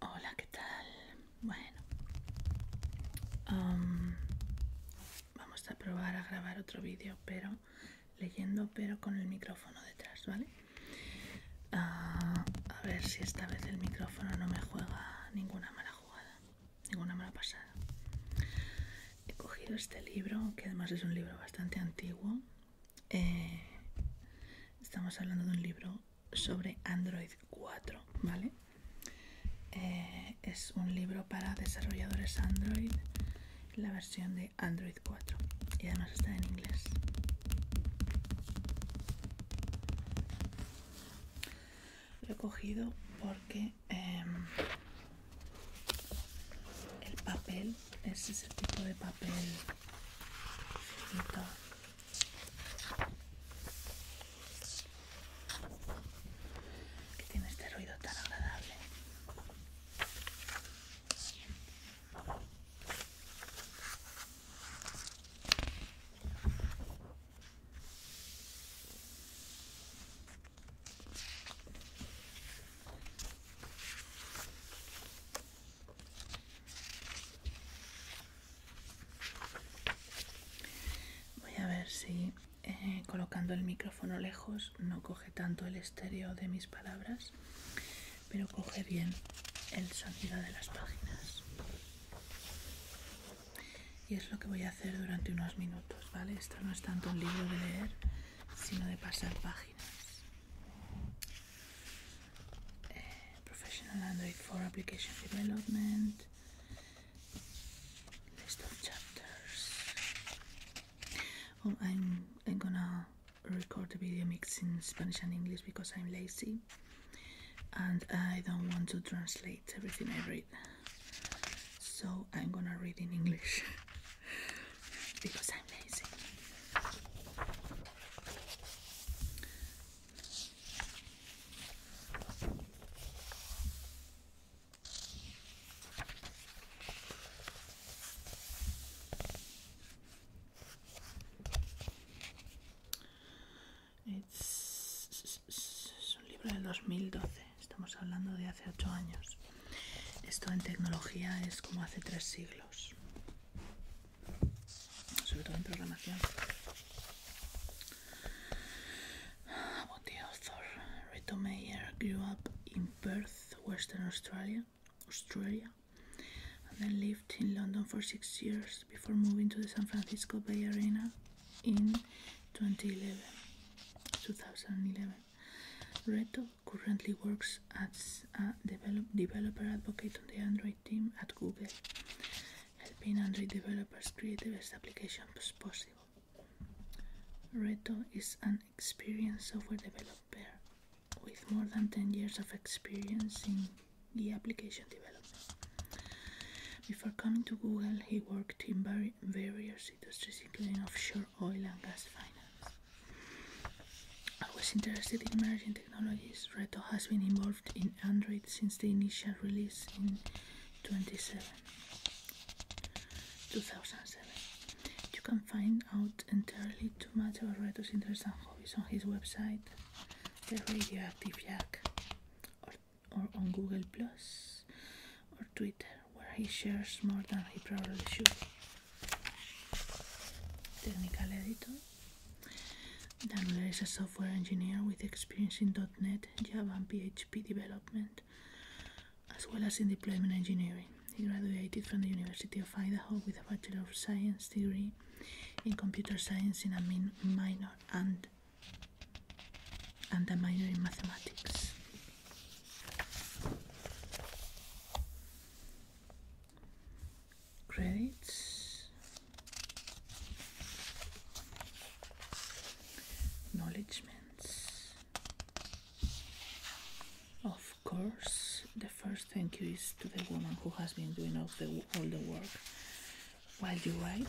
Hola, ¿qué tal? Bueno, um, vamos a probar a grabar otro vídeo, pero leyendo, pero con el micrófono detrás, ¿vale? Ah, a ver si esta vez el micrófono no me juega ninguna mala jugada, ninguna mala pasada. He cogido este libro, que además es un libro bastante antiguo. Eh, estamos hablando de un libro sobre Android 4, ¿vale? Eh, es un libro para desarrolladores Android, la versión de Android 4. Y además está en inglés. Lo he cogido porque em, el papel, es el tipo de papel Que tiene este ruido tan agradable. Voy a ver si eh, colocando el micrófono lejos no coge tanto el estéreo de mis palabras pero coge bien el sonido de las páginas y es lo que voy a hacer durante unos minutos vale esto no es tanto un libro de leer sino de pasar páginas eh, professional android for application development list of chapters oh, I'm, I'm gonna record the video mixed in Spanish and English because I'm lazy and I don't want to translate everything I read. So I'm gonna read in English because I'm lazy. Es un libro del 2012, estamos hablando de hace 8 años. Esto en tecnología es como hace 3 siglos, sobre todo en programación. About the author, Mayer grew up in Perth, Western Australia, Australia, and then lived in London for six years before moving to the San Francisco Bay Arena in 2011. 2011. Reto currently works as a developer advocate on the Android team at Google, helping Android developers create the best applications possible. Reto is an experienced software developer with more than 10 years of experience in the application development. Before coming to Google, he worked in various industries, including offshore oil and gas finance. I was interested in emerging technologies. Reto has been involved in Android since the initial release in 2007. You can find out entirely too much about Reto's interests and hobbies on his website the radioactive jack or, on Google Plus or Twitter where he shares more than he probably should. Technical editor. Daniel is a software engineer with experience in .NET, Java and PHP development as well as in deployment engineering. He graduated from the University of Idaho with a Bachelor of Science degree in computer science in a minor and and a minor in mathematics. Credits, acknowledgements of of course, the first thank you is to the woman who has been doing all the, all the work while you write.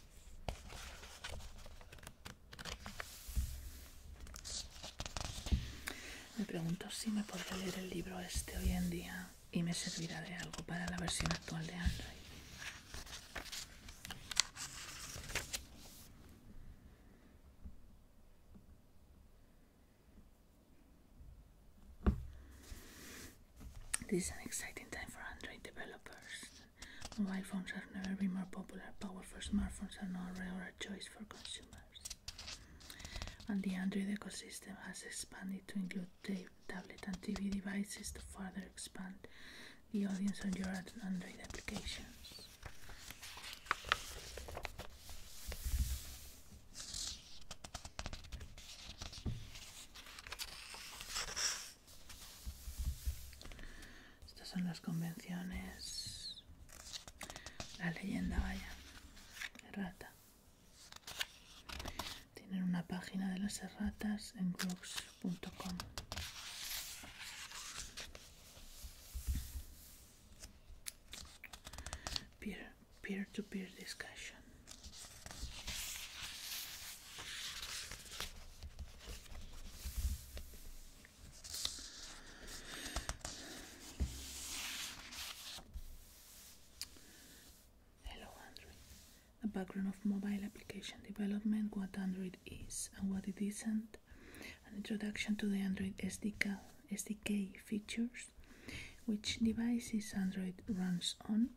Me pregunto si me podré leer el libro este hoy en día y me servirá de algo para la versión actual de Android. for Android Mobile phones have never been more popular. Powerful smartphones are now a regular choice for consumers. And the Android ecosystem has expanded to include tablet and TV devices to further expand the audience on your Android applications. Estas son las convenciones. La leyenda, vaya, errata. Tienen una página de las erratas en groups.com. peer to -peer discussion. Hello Android. The background of mobile application development, what Android is and what it isn't, an introduction to the Android SDK features, which devices Android runs on,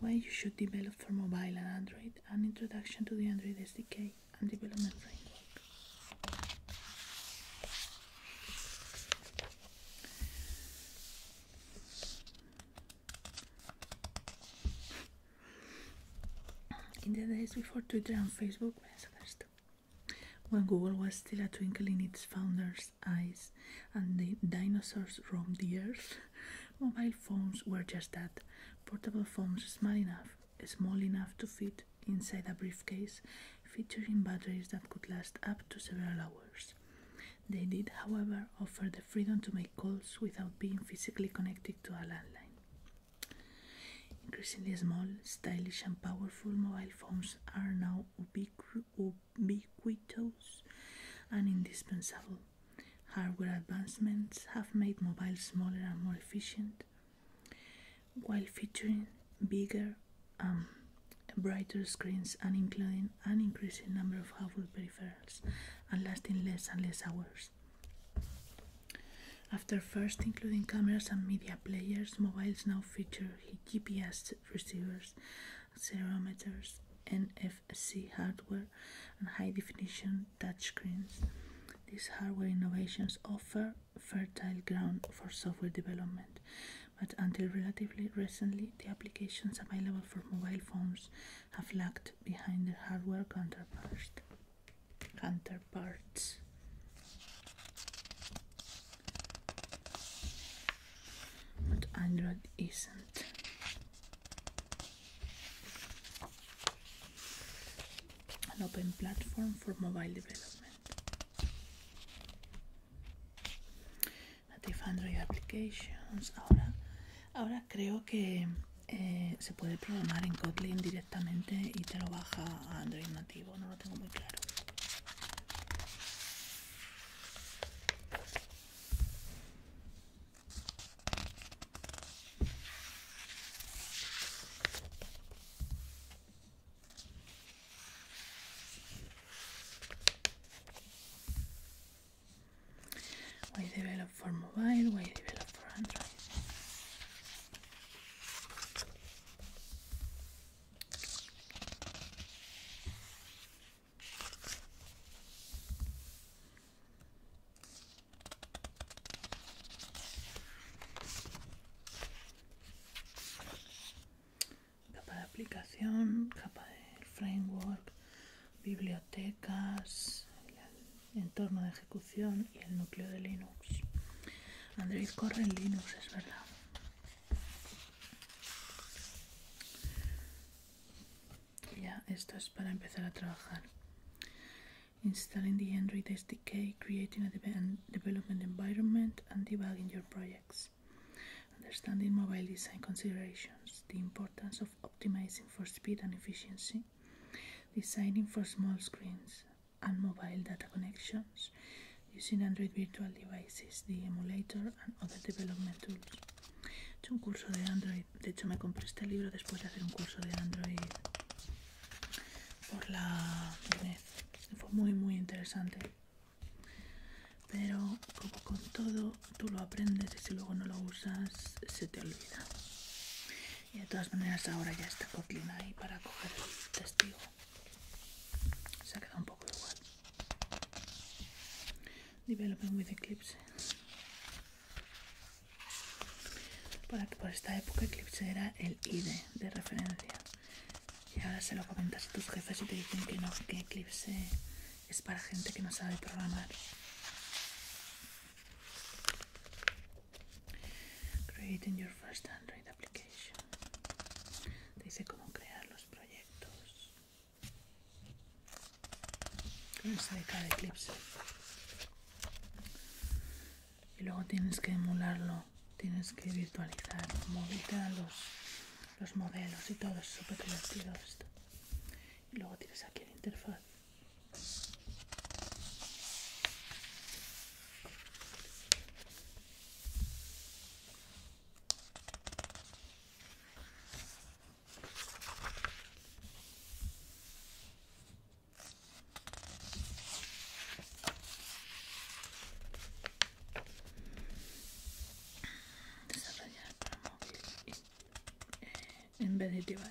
why you should develop for mobile and Android, an introduction to the Android SDK and development framework. In the days before Twitter and Facebook, when Google was still a twinkle in its founders' eyes and the dinosaurs roamed the earth, Mobile phones were just that portable phones small enough, small enough to fit inside a briefcase, featuring batteries that could last up to several hours. They did, however, offer the freedom to make calls without being physically connected to a landline. Increasingly small, stylish, and powerful mobile phones are now ubiquitous and indispensable Hardware advancements have made mobiles smaller and more efficient, while featuring bigger and um, brighter screens and including an increasing number of hardware peripherals and lasting less and less hours. After first including cameras and media players, mobiles now feature GPS receivers accelerometers, NFC hardware, and high definition touchscreens. These hardware innovations offer fertile ground for software development, but until relatively recently, the applications available for mobile phones have lagged behind the hardware counterparts. counterparts. But Android isn't. An open platform for mobile development. Native Android applications. Ahora, ahora creo que eh, se puede programar en Kotlin directamente y te lo baja a Android nativo. No lo tengo muy claro. Why develop for mobile? Why develop for Android? Capa de aplicación, capa de framework, bibliotecas, entorno de ejecución y el núcleo de Linux. Android corre en Linux, es verdad ya esto es para empezar a trabajar installing the Android SDK creating a development environment and debugging your projects understanding mobile design considerations the importance of optimizing for speed and efficiency designing for small screens and mobile data connections using Android virtual devices the emulator and other development tools un curso de Android de hecho, me compré este libro después de hacer un curso de Android por la Fue muy, muy interesante. Pero como con todo, tú lo aprendes y si luego no lo usas, se te olvida. Y de todas maneras, ahora ya está Kotlin ahí para coger testigo. Se ha quedado un poco igual. Developing with Eclipse. por esta época Eclipse era el ID de referencia. Y ahora se lo comentas a tus jefes y te dicen que no, que Eclipse es para gente que no sabe programar. Creating your first Android application. Te dice cómo crear los proyectos eclipse y luego tienes que emularlo tienes que virtualizar mover los, los modelos y todo es súper divertido esto y luego tienes aquí la interfaz Desarrollar para móvil eh, en vez de device.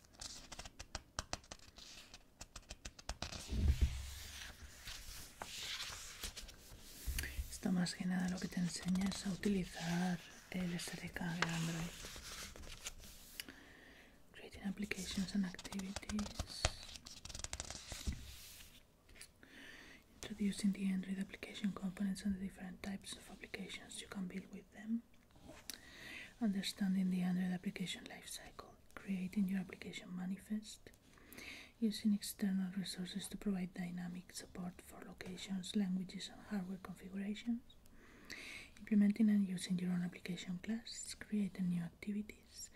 Esto más que nada lo que te enseña es a utilizar el SDK de Android. Creating applications and activities. Introducing the Android application components and the different types of applications you can build with them. understanding the Android application lifecycle, creating your application manifest, using external resources to provide dynamic support for locations, languages, and hardware configurations, implementing and using your own application classes, creating new activities,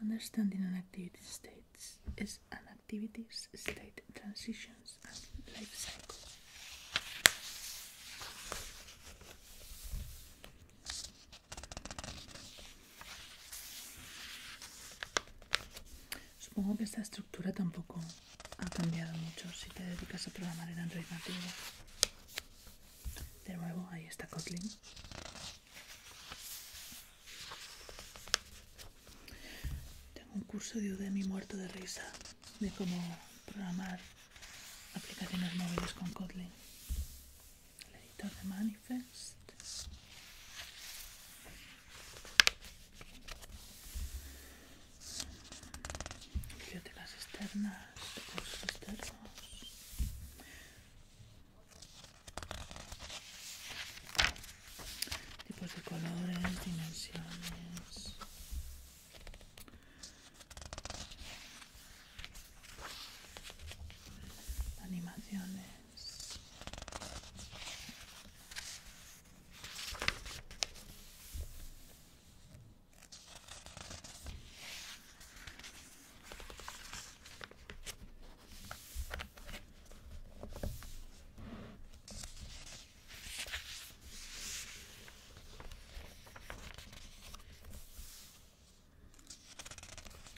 understanding an activity states is an activities state transitions and life cycle. Supongo que esta estructura tampoco ha cambiado mucho si te dedicas a programar en Android nativo. De nuevo, ahí está Kotlin. Tengo un curso de Udemy muerto de risa de cómo programar aplicaciones móviles con Kotlin. El editor de Manifest. Bibliotecas externas, cursos externos. Tipos de colores, dimensiones animaciones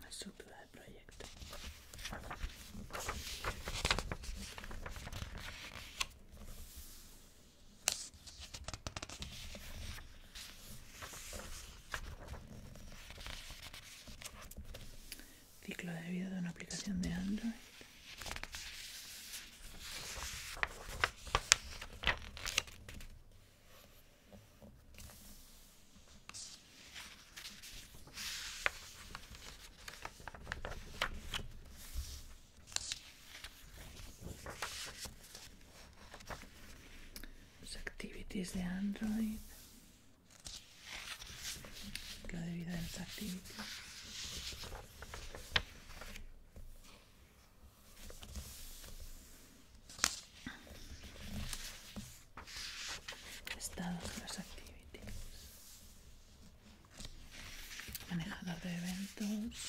estructura del proyecto ciclo de vida de una aplicación de android activities de Android. La de vida de los Estado de las activities. Manejador de eventos.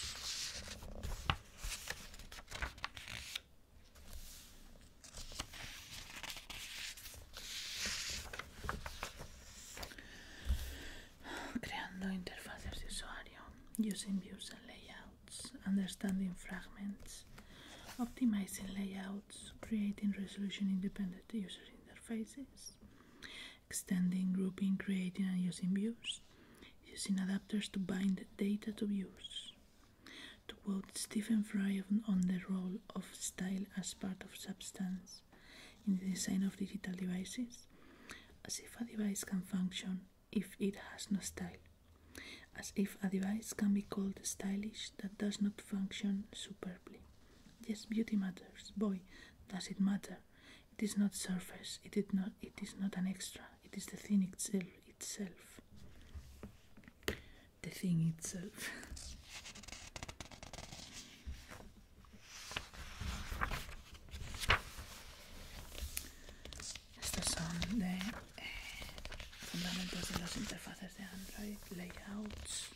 Creating interfaces de usuario, using views and layouts, understanding fragments, optimizing layouts, creating resolution independent user interfaces, extending, grouping, creating and using views, using adapters to bind data to views. To quote Stephen Fry on the role of style as part of substance, in the design of digital devices, as if a device can function if it has no style, as if a device can be called stylish that does not function superbly. Yes, beauty matters. Boy, does it matter. It is not surface, it, not, it is not an extra, it is the thing itself. The thing itself. Estos son de eh, fundamentos de las interfaces de Android, layouts.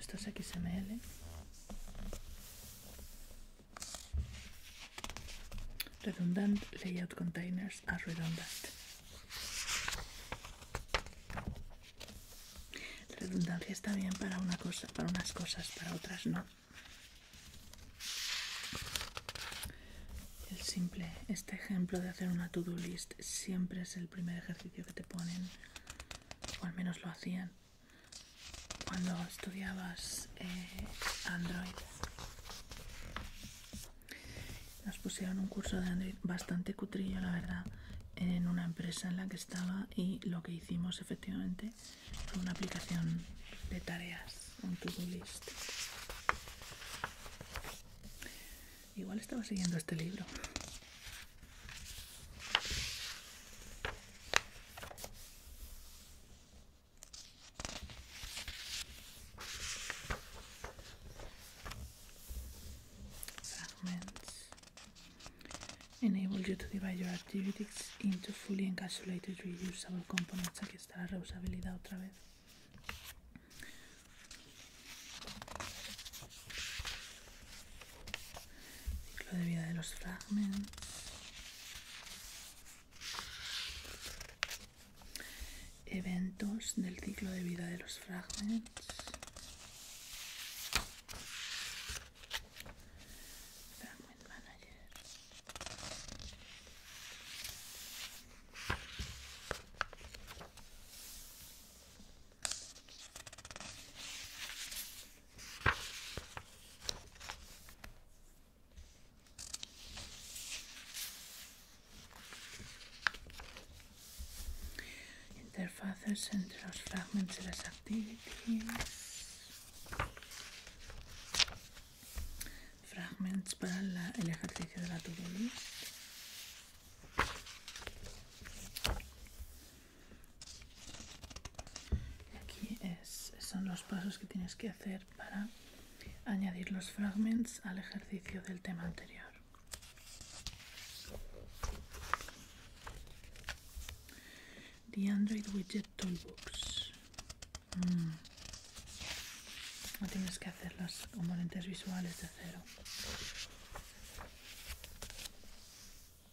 Esto es XML. Redundant layout containers a redundant. redundancia está bien para una cosa, para unas cosas, para otras no. El simple, este ejemplo de hacer una to-do list siempre es el primer ejercicio que te ponen, o al menos lo hacían cuando estudiabas eh, Android. Nos pusieron un curso de Android bastante cutrillo, la verdad, en una empresa en la que estaba y lo que hicimos efectivamente fue una aplicación de tareas, un to-do list. Igual estaba siguiendo este libro. Fragments enable you to divide your activities into fully encapsulated reusable components. Aquí está la reusabilidad otra vez. Ciclo de vida de los fragments. Eventos del ciclo de vida de los fragments. Interfaces entre los fragments y las actividades, Fragments para la, el ejercicio de la tubería. Y Aquí son los pasos que tienes que hacer para añadir los fragments al ejercicio del tema anterior. The Android Widget Toolbox. Mm. No tienes que hacer los componentes visuales de cero.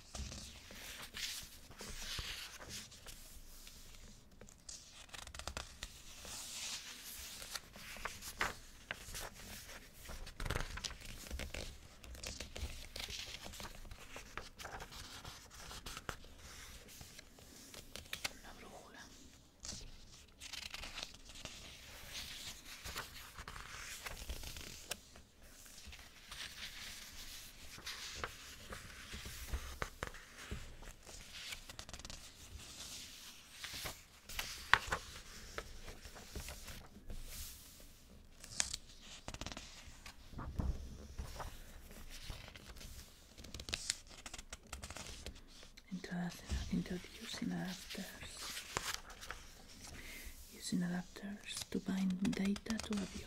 Una brújula. Introducing adapters, using adapters to bind data to a view.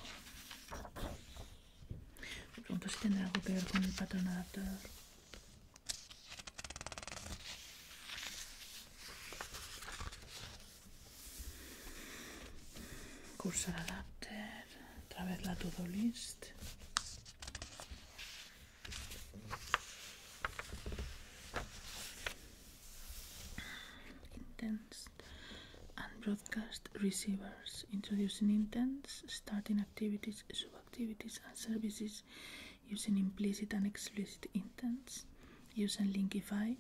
pregunto si tendrá algo que ver con el patrón adaptador. Cursor adapter, otra vez la todo list. and broadcast receivers, introducing intents, starting activities, subactivities, and services using implicit and explicit intents, using Linkify,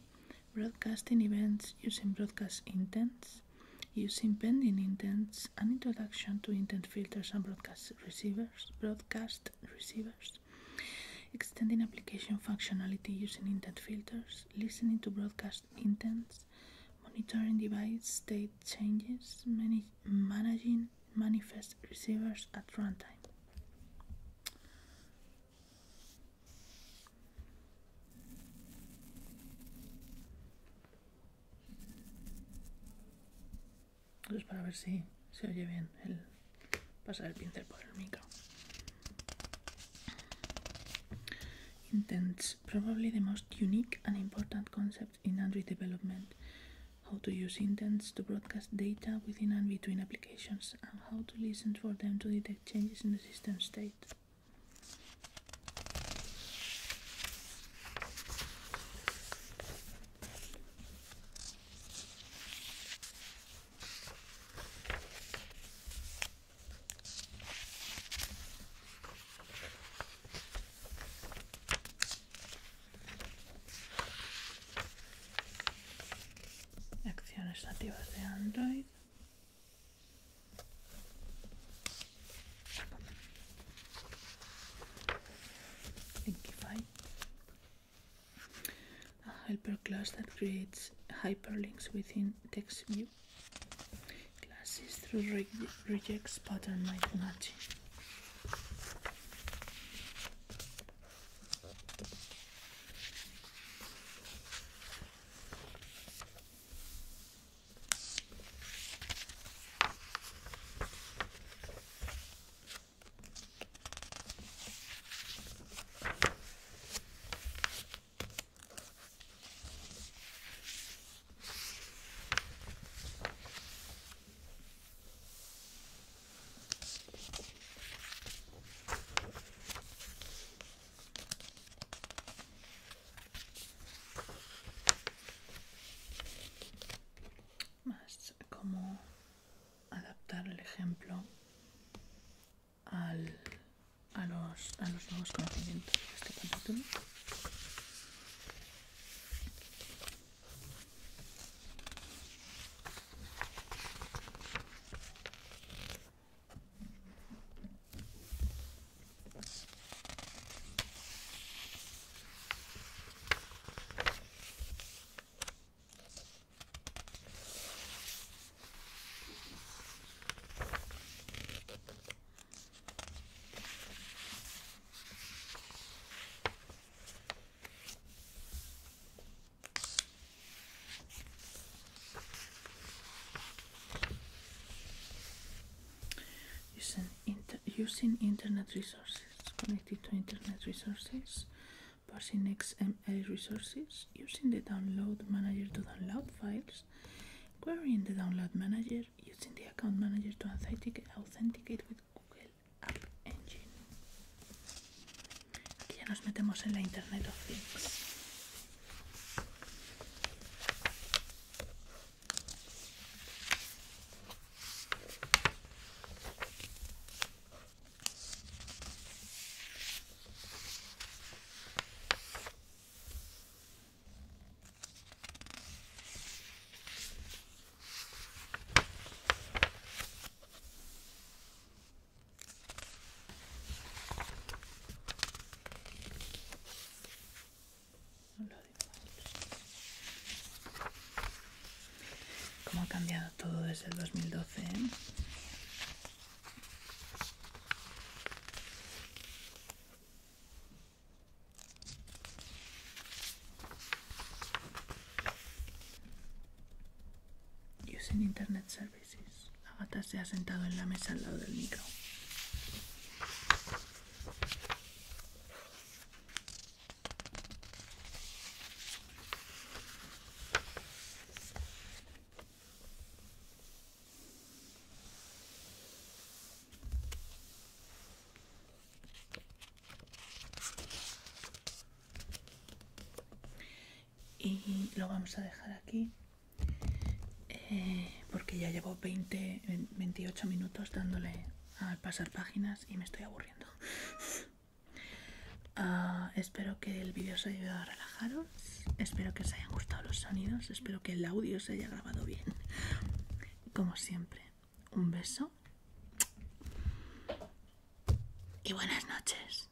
broadcasting events using broadcast intents, using pending intents, and introduction to intent filters and broadcast receivers, broadcast receivers, extending application functionality using intent filters, listening to broadcast intents, monitoring device state changes, managing manifest receivers at runtime. es pues para ver si se oye bien el pasar el pincel por el micro. Intent probably the most unique and important concept in Android development how to use intents to broadcast data within and between applications, and how to listen for them to detect changes in the system state. Acciones nativas de Android. Linkify. A ah, helper class that creates hyperlinks within TextView see glasses through rejects pattern might match más como adaptar el ejemplo al, a, los, a los nuevos conocimientos de este capítulo. Using, internet resources, connected to internet resources, parsing XML resources, using the download manager to download files, Query Querying the download manager using the account manager to authenticate, authenticate with Google App Engine. Aquí ya nos metemos en la Internet of Things. Como ha cambiado todo desde el 2012. doce. ¿eh? Usen Internet Services. Agatha se ha sentado en la mesa al lado del micro y lo vamos a dejar aquí eh, porque ya llevo 28 minutos dándole a pasar páginas y me estoy aburriendo ah, espero que el vídeo os haya ayudado a relajaros Espero que os hayan gustado los sonidos. Espero que el audio se haya grabado bien. Como siempre, un beso y buenas noches.